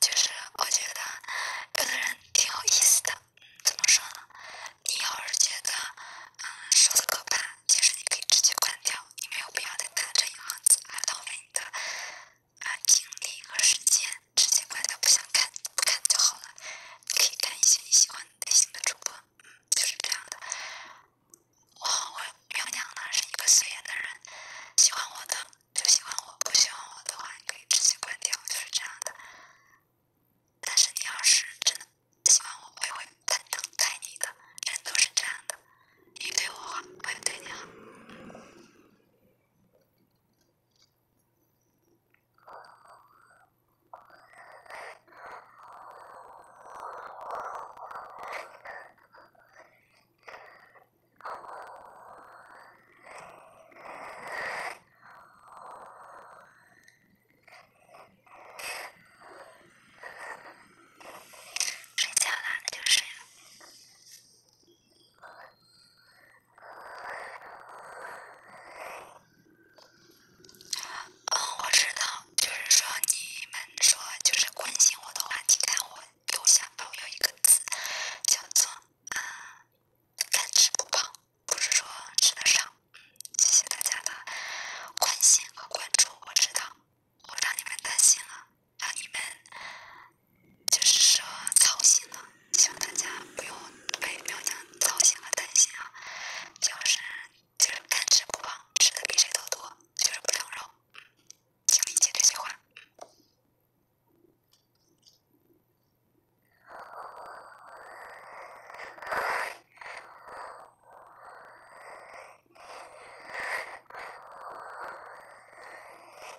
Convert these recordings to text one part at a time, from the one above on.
其实我觉得有的人挺有意思的，怎么说呢？你要是觉得啊说的可怕，其实你可以直接关掉，你没有必要再打这一行字，浪费你的精力和时间。直接关掉，不想看不看就好了。你可以看一些你喜欢类型的主播，嗯，就是这样的。我，我，我娘呢是一个随缘的人，喜欢我的就喜欢我，不喜欢我的话你可以直接关掉，就是这样的。但是你要是真的喜欢我，我也会坦诚待你的，人都是这样的，你对我好，我也对你好。睡觉啦，那就睡了。嗯，我知道，就是说你们说就是关心我的话，记得我右下方有一个字，叫做“嗯，能吃不胖，不是说吃的少。谢谢大家的关心和关注，我知道，我让你们担心了。让你们就是说操心了，希望大家不用为苗娘操心和担心啊！就是就是干吃不胖，吃的比谁都多，就是不长肉，嗯，请理解这句话，嗯。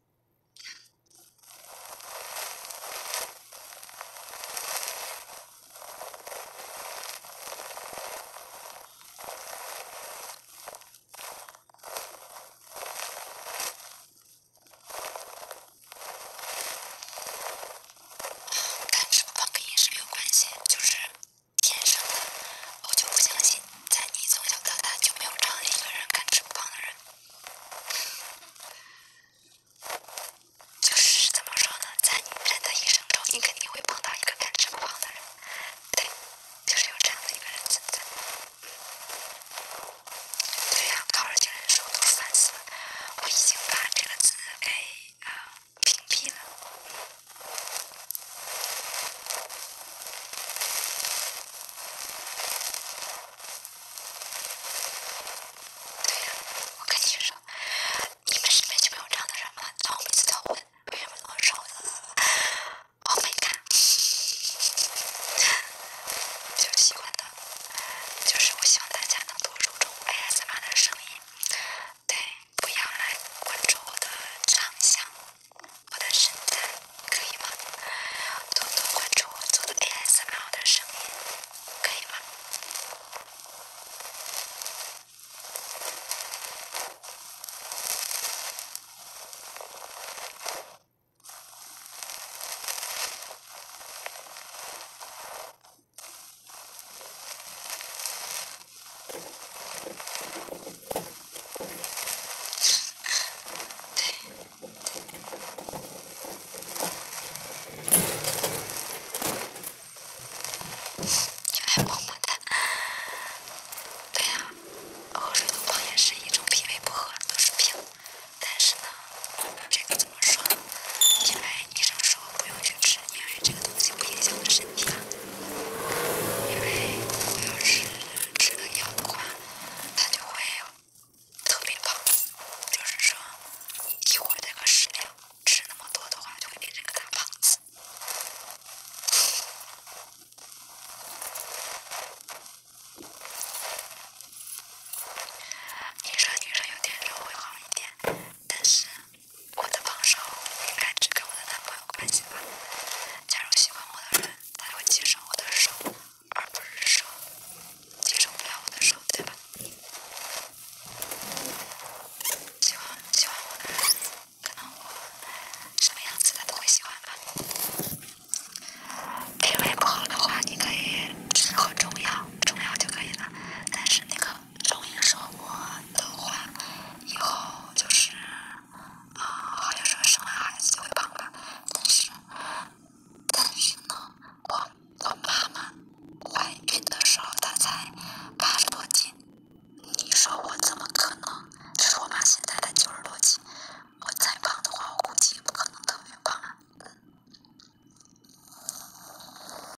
干吃不胖跟饮食没有关系，就是天生的。我就不相信，在你从小到大就没有这样一个人干吃不胖的人。就是怎么说呢，在人的一生中，你肯定会碰到一个赶着不胖的人，对，就是有这样的一个人存在。对呀，样，打扰，请忍受烦死了，我已经把这个字，给啊，屏蔽了。对呀，我跟你说，你们身边就没有这样的人吗？从鼻子到臀，为什么能上万？欧米伽，就喜欢的，就是我希望大家能多注重 a s r 的声音，对，不要来关注我的长相。我的身材可以吗？多多关注我做的 ASL 的声音，可以吗？对，对。呀，喝水多胖也是一种脾胃不和，都是病。但是呢，这个怎么说？因为医生说不用少吃，因为这个东西不影响我的身体啊。因为要是吃那药的话，它就会特别胖，就是说，一会儿那个食量吃那么多的话，就会变成个大胖子。女生女生有点肉会好一点，但是。我的帮手应该只跟我的男朋友关系吧。假如喜欢我的人，他会接受我的手，而不是说接受不了我的手，对吧？喜欢喜欢我的人，可能我什么样子他都会喜欢吧。皮肤不好的话，你可以只喝中药，中药就可以了。但是那个。中医说过的话，以后就是啊，好像说生完孩子就会胖吧。但是，但是呢，我我妈妈怀孕的时候她才八十多斤，你说我怎么可能？就是我妈现在才九十多斤，我再胖的话，我估计也不可能特别胖啊。